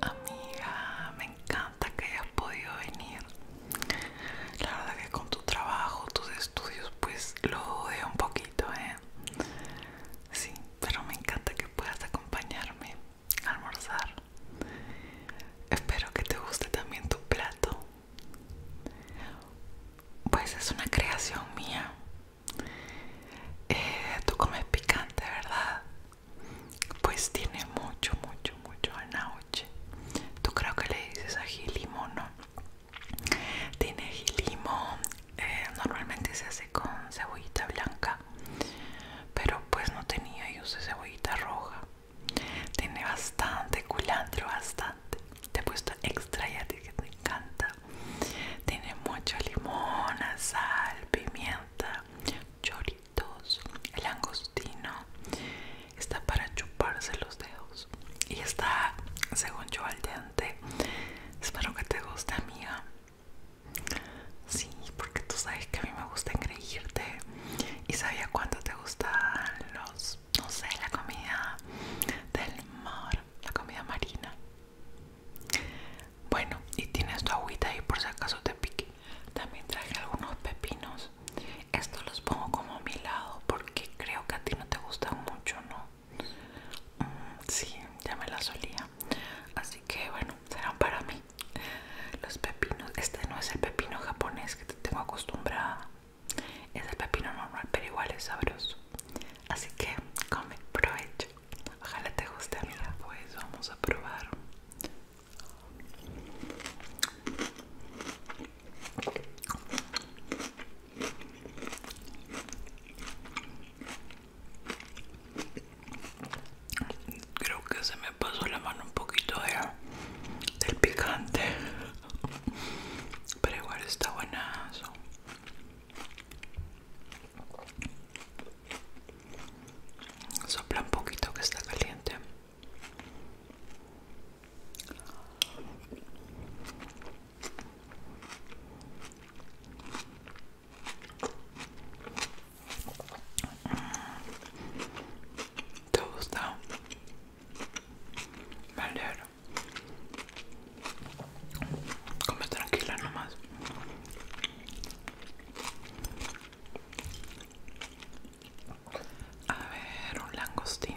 Amiga, me encanta que hayas podido venir. La verdad que con tu trabajo, tus estudios, pues lo odio un poquito, ¿eh? Sí, pero me encanta que puedas acompañarme almorzar. Espero que te guste también tu plato. Pues es una creación mía. Eh, tú comes picante, ¿verdad? Pues tiene mucho, mucho, mucho anauche. Tú creo que le dices ají limón, ¿no? Tiene ají limón, eh, normalmente se hace con cebollita blanca pero pues no tenía y usé cebollita roja tiene bastante culantro bastante te he puesto extra y que te encanta tiene mucho limón sal pimienta choritos el angostino está para chuparse los dedos y está según yo al diente espero que te guste amiga Sí, porque tú sabes que a mí me gusta engreírte y sabía cuánto te gustan los, no sé, la comida del mar, la comida marina. Bueno, y tienes tu agüita ahí por si acaso te pique. También traje algunos pepinos. Estos los pongo como a mi lado porque creo que a ti no te gustan mucho, ¿no? Mm, sí, ya me las solía así que bueno serán para mí los pepinos este no es el pepino japonés que te tengo acostumbrada es el pepino normal pero igual es sabroso así que come provecho ojalá te guste amiga pues vamos a probar Creo que se me pasó la mano un poquito de, del picante. Pero igual está buenazo. Sopla un poquito que está caliente. ¿Te gusta? Me alegro. Come tranquila nomás. A ver, un langostin.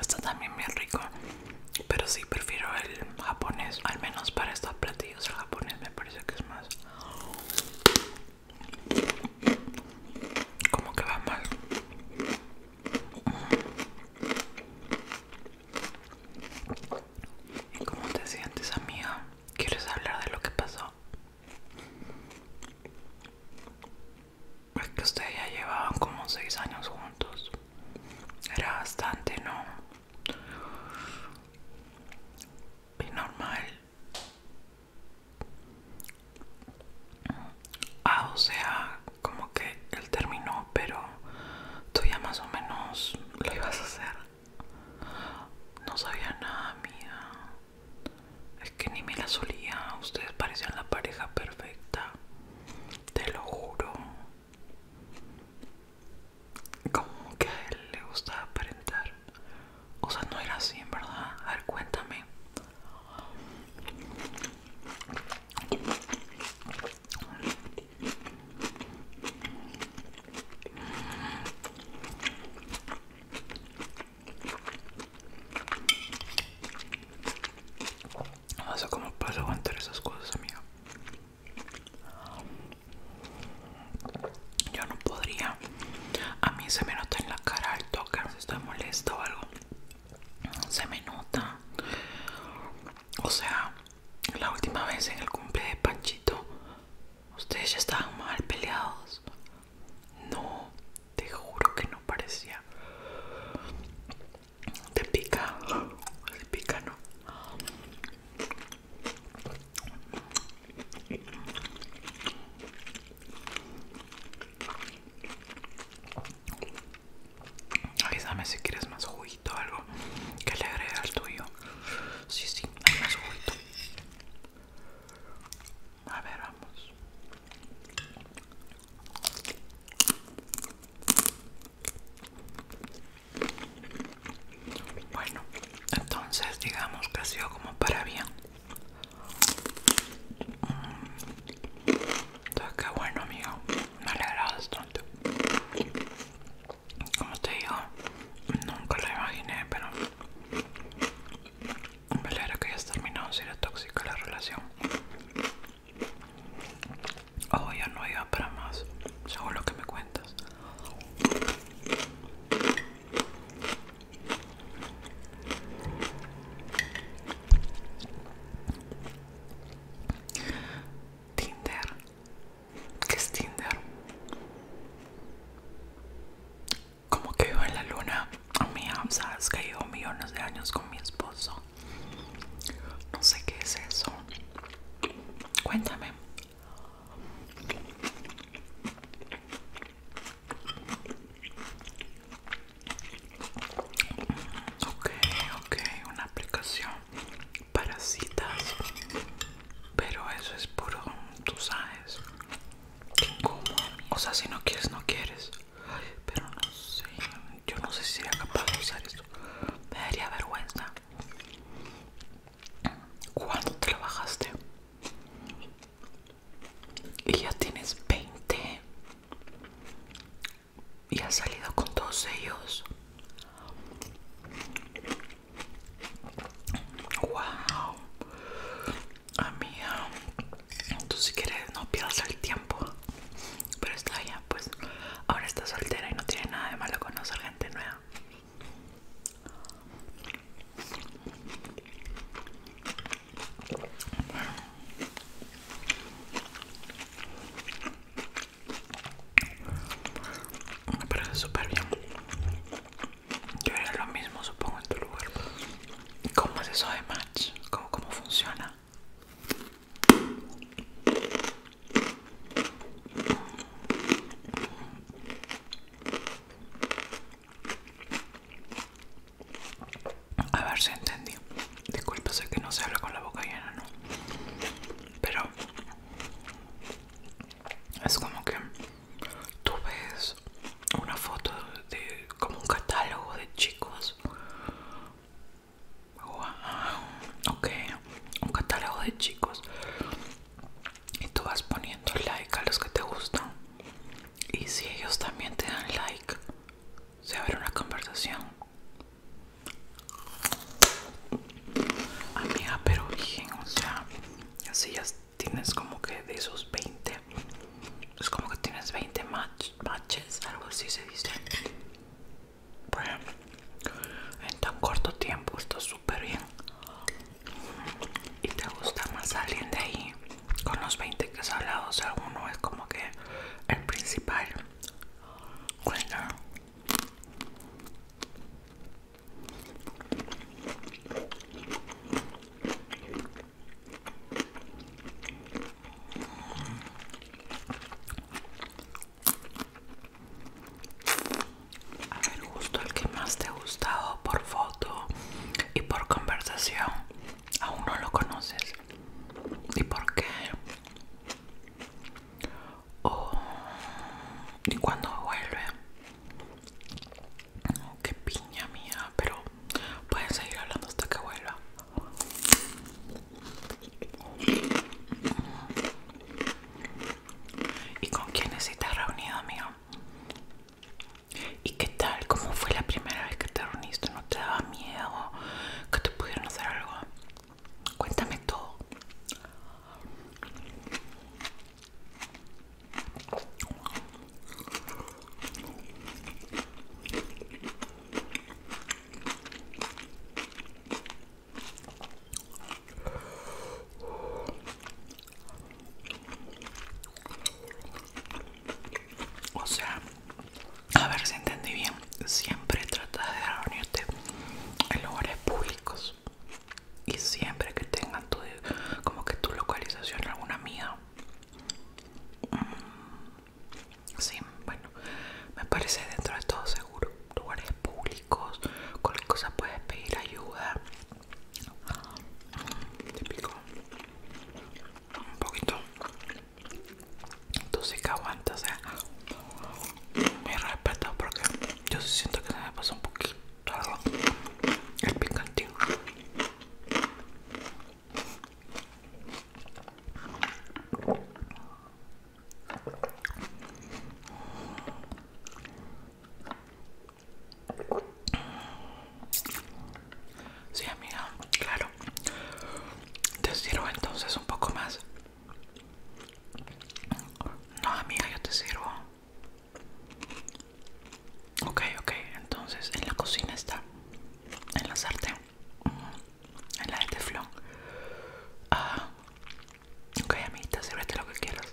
Está también bien rico, pero sí prefiero el japonés, al menos para estos platillos el japonés me parece que es más como que va mal. ¿Y cómo te sientes, amiga? ¿Quieres hablar de lo que pasó? es pues que ustedes ya llevaban como seis años juntos. Era bastante, ¿no? Y normal. Ah, o sea, como que él terminó, pero tú ya más o menos lo ibas a hacer. No sabía nada, mía. Es que ni me la solía. Ustedes parecían la pareja perfecta te lo juro. Como que a él le gustaba aparentar. O sea, no era así, en verdad. A ver, cuéntame. No sé cómo puedo aguantar esas cosas, amiga. Yo no podría. A mí se me nota en la cara al tocar Si estoy molesta o algo, se me nota. O sea, la última vez en el cumple de Panchito, ustedes ya estaban mal peleados. No, te juro que no parecía. Te pica. Te pica, ¿no? Avísame si quieres más juguito o algo que le agregue al tuyo. Sí, sí, hay más juguito. A ver, vamos. Bueno, entonces digamos que ha sido como para bien. Mm, entonces, qué bueno, amigo. Me alegra bastante. Como te digo, nunca lo imaginé, pero me alegra que hayas terminado si era tóxica la relación. Oh, ya no iba para más, según lo que me cuentas. Tinder. ¿Qué es Tinder? Como que vivo en la luna. Mira, sabes que llevo millones de años con mi esposo. No sé qué es eso. Cuéntame. Ok, ok, una aplicación para citas. Pero eso es puro, tú sabes. O sea, si no quieres, no quieres. Pero no sé, yo no sé si sería capaz de usar esto. Me daría vergüenza. ¿Cuándo trabajaste? Y ya tienes 20. Y has salido con todos ellos. Wow. Amiga, tú si quieres no pierdas el tiempo. Pero está bien, pues ahora está soltera y no tiene nada de malo conocer gente nueva. Me parece súper bien. Yo haría lo mismo, supongo, en tu lugar. ¿Cómo es eso de match? ¿Cómo, cómo funciona? A ver si entendí. Disculpa, sé que no se habla con la boca llena, ¿no? Pero es como que tú ves una foto de como un catálogo de chicos. ok, un catálogo de chicos. Y tú vas poniendo like a los que te gustan. Y si ellos también te dan like, se abre una conversación. Amiga, pero bien, o sea, así ya tienes como que de esos 20 es como que tienes 20 matches, algo así se dice. Bueno, en tan corto tiempo está súper bien. Y te gusta más alguien de ahí. Con los 20 que has hablado, o sea, es como que el principal. Bueno. A ver, justo el que más te ha gustado por foto y por conversación. Aún no lo conoces. ¿Y por qué? ¿Y cuándo vuelve? ¡Qué piña mía! Pero Pueden seguir hablando hasta que vuelva. ¿Y con quiénes estás reunido, amigo? ¿Y qué tal? ¿Cómo fue la primera vez que te reuniste? ¿No te daba miedo que te pudieran hacer algo? Cuéntame todo. O sea, a ver si entendí bien, siempre trata de reunirte en lugares públicos y siempre que tengan como que tu localización alguna mía Mm, sí, bueno, me parece dentro de todo seguro. Lugares públicos, cualquier cosa puedes pedir ayuda. Mm, te un poquito. Tú sí que aguantas, o sea, respeto porque yo siento que se me pasó un poquito el pingantín. Sí, amiga, claro. Te sirvo entonces un poco más. No, amiga, yo te sirvo. Okay, okay. entonces en la cocina está, en la sartén, en la de teflón. Ah, ok, si vete lo que quieras.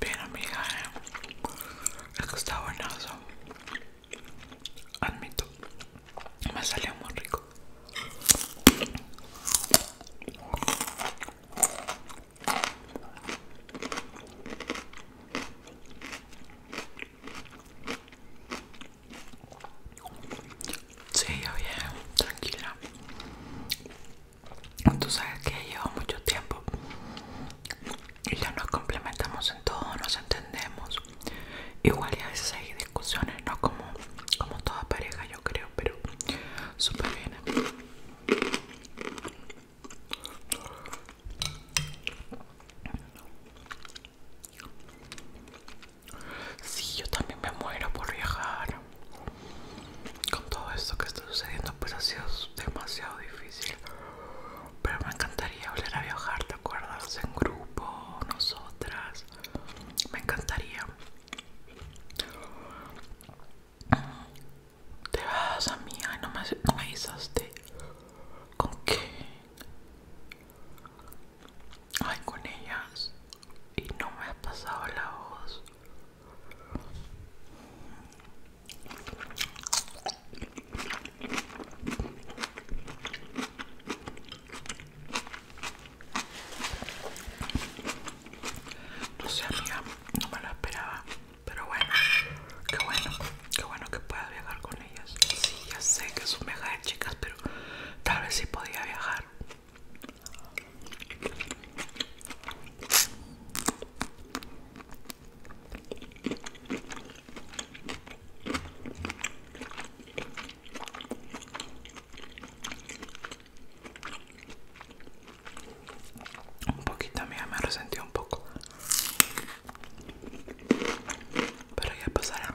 Bien amiga, eh. es que está buenazo. Admito, me salió muy rico. Sí, yo bien, tranquila. Tú sabes que lleva mucho tiempo y ya nos complementamos en todo, nos entendemos. Igual y a veces hay discusiones, no como, como toda pareja, yo creo, pero súper bien si yo también me muero por viajar. Con todo esto que está sucediendo, pues ha sido demasiado difícil. Pero me encantaría volver a viajar, de acuerdas? En grupo, nosotras. Me encantaría. Te vas, a no me, no me avisaste. ¿Con qué? Ay, con ellas. Y no me ha pasado la voz. No sé, amiga, no me lo esperaba. Pero bueno, qué bueno, qué bueno que pueda viajar con Sí, ya sé que es un de chicas, pero tal vez sí podía viajar. Un poquito, mía, me resentí un poco, pero ya pasará.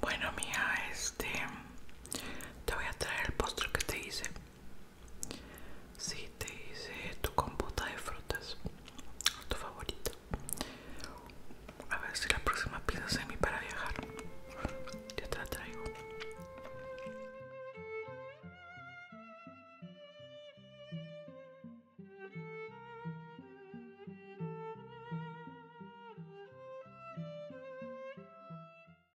Bueno, mía, este te voy a traer el postre que te hice. Si te hice tu compota de frutas, tu favorita. A ver si la próxima pieza semi mi para viajar. Ya te la traigo.